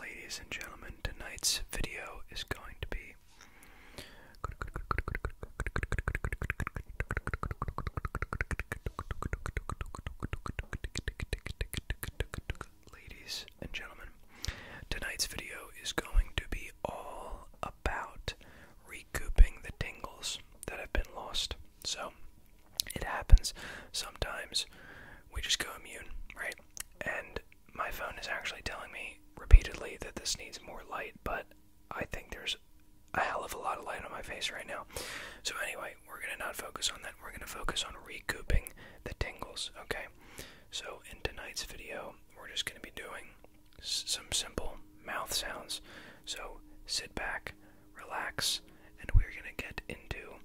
Ladies and gentlemen, tonight's video is going to be Ladies and gentlemen, tonight's video is going to be all about recouping the tingles that have been lost. So, it happens sometimes we just go immune, right? and my phone is actually telling me repeatedly that this needs more light, but I think there's a hell of a lot of light on my face right now. So, anyway, we're going to not focus on that. We're going to focus on recouping the tingles, okay? So, in tonight's video, we're just going to be doing some simple mouth sounds. So, sit back, relax, and we're going to get into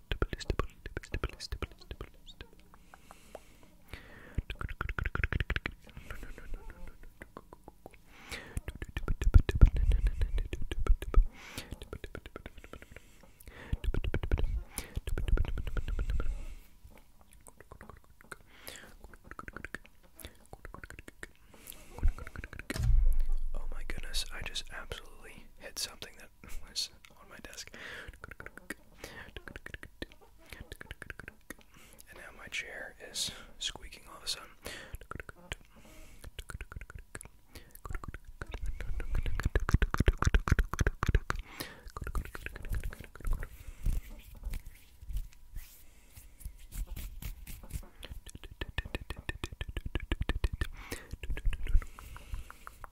Oh my goodness, I just absolutely hit something that was on my desk. And now my chair is squeaking all of a sudden.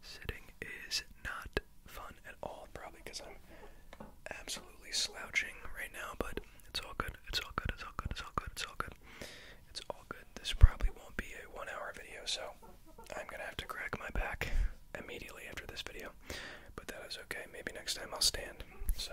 Sitting is not fun at all, probably because I'm absolutely slouching right now, but it's all good. It's all good. It's all good. It's all good. It's all good. It's all good. This probably won't be a one hour video, so I'm gonna have to crack my back immediately after this video. But that is okay. Maybe next time I'll stand. So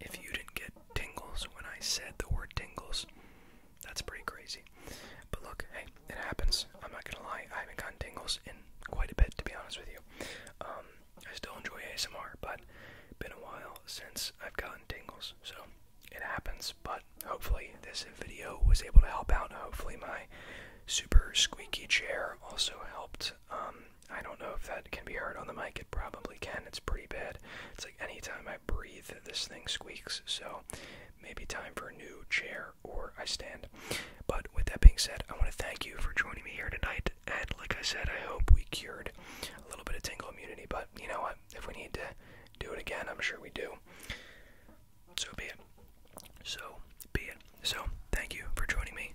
if you didn't get tingles when I said the word tingles, that's pretty crazy. But look, hey, it happens. I'm not gonna lie, I haven't gotten tingles in quite a bit, to be honest with you. Um, I still enjoy ASMR, but it's been a while since I've gotten tingles, so it happens. But hopefully, this video was able to help out. Hopefully, my super squeaky chair also helped. Um, I don't know if that can be heard on the mic. It probably can. It's pretty bad. It's like anytime I breathe, this thing squeaks. So maybe time for a new chair or I stand. But with that being said, I want to thank you for joining me here tonight. And like I said, I hope we cured a little bit of tingle immunity. But you know what? If we need to do it again, I'm sure we do. So be it. So be it. So thank you for joining me